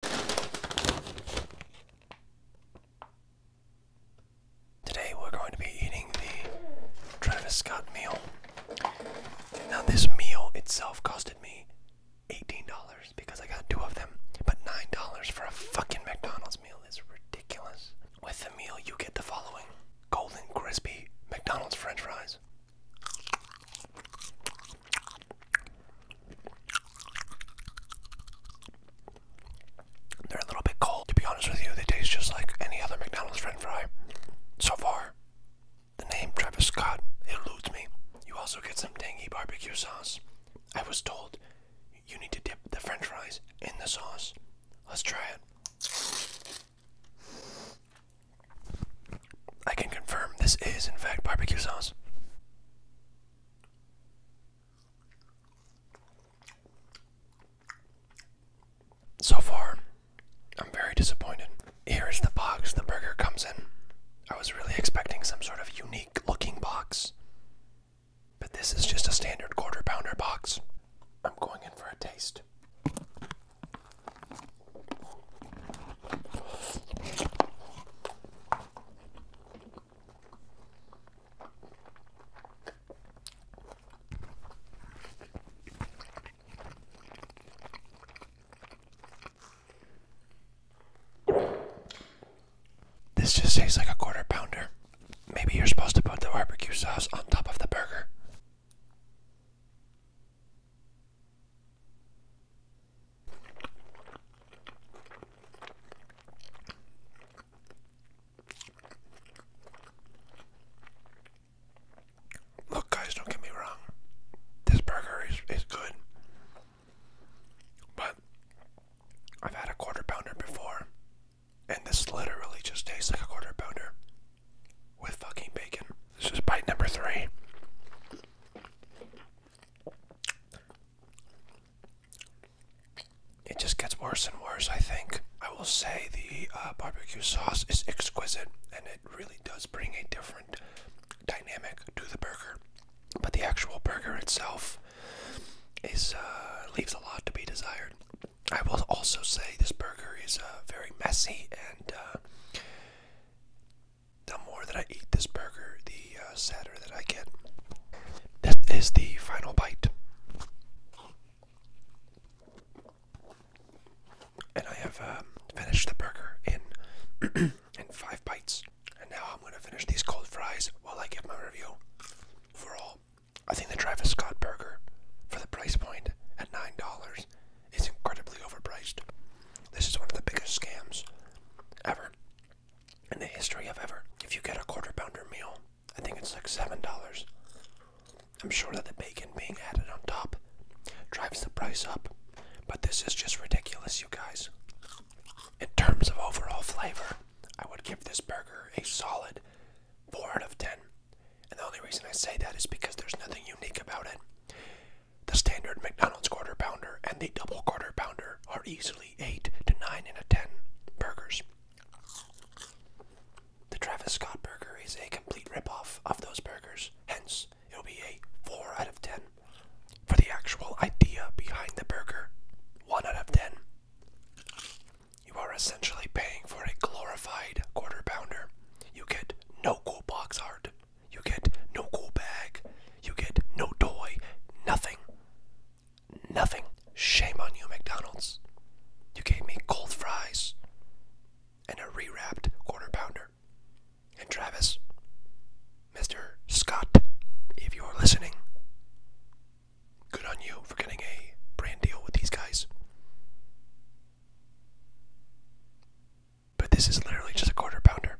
Today we're going to be eating the Travis Scott meal. Now this meal itself costed me $18 because I got two of them, but $9 for a fucking McDonald's meal is ridiculous. With the meal you get the following: golden crispy McDonald's french fries. They're a little bit cold. To be honest with you, they taste just like any other McDonald's french fry. So far, the name Travis Scott eludes me. You also get some tangy barbecue sauce. I was told you need to dip the french fries in the sauce. Let's try it. I can confirm this is, in fact, barbecue sauce. So far, I'm very disappointed. Here is the box the burger comes in. I was really expecting some sort of unique looking box, but this is just a standard quarter pounder box. I'm going in for a taste. This just tastes like a quarter pounder. Maybe you're supposed to put the barbecue sauce on top of the burger. Look, guys, don't get me wrong. This burger is, is good. But I've had a quarter pounder before, and this literally just tastes like a quarter pounder with fucking bacon. This is bite number three. It just gets worse and worse, I think. I will say the uh, barbecue sauce is exquisite and it really does bring a different dynamic to the burger. But the actual burger itself is uh, leaves a lot to be desired. I will also say this burger is uh, very messy and the more that I eat this burger, the uh, sadder that I get. This is the final bite. And I have um, finished the burger in in five bites. And now I'm going to finish these cold fries while I give my review. Overall, I think the Travis Scott burger, for the price point at $9, is incredibly overpriced. This is one of the biggest scams ever in the history of ever. If you get a quarter pounder meal, I think it's like $7. I'm sure that the bacon being added on top drives the price up, but this is just ridiculous, you guys. In terms of overall flavor, I would give this burger a solid 4 out of 10. And the only reason I say that is because there's nothing unique about it. The standard McDonald's quarter pounder and the double quarter pounder are easily 8 to 9 in a 10 burgers. The Travis Scott burger is a complete ripoff of those burgers, hence, it'll be a 4 out of 10. For the actual idea behind the burger, 1 out of 10. You are essentially paying for a glorified quarter pounder. You get no cool box art, you get no cool bag. You get no toy. Nothing. Nothing. Shame on you, McDonald's. You gave me cold fries and a rewrapped quarter pounder. And Travis, Mr. Scott, if you're listening, good on you for getting a brand deal with these guys. But this is literally just a quarter pounder.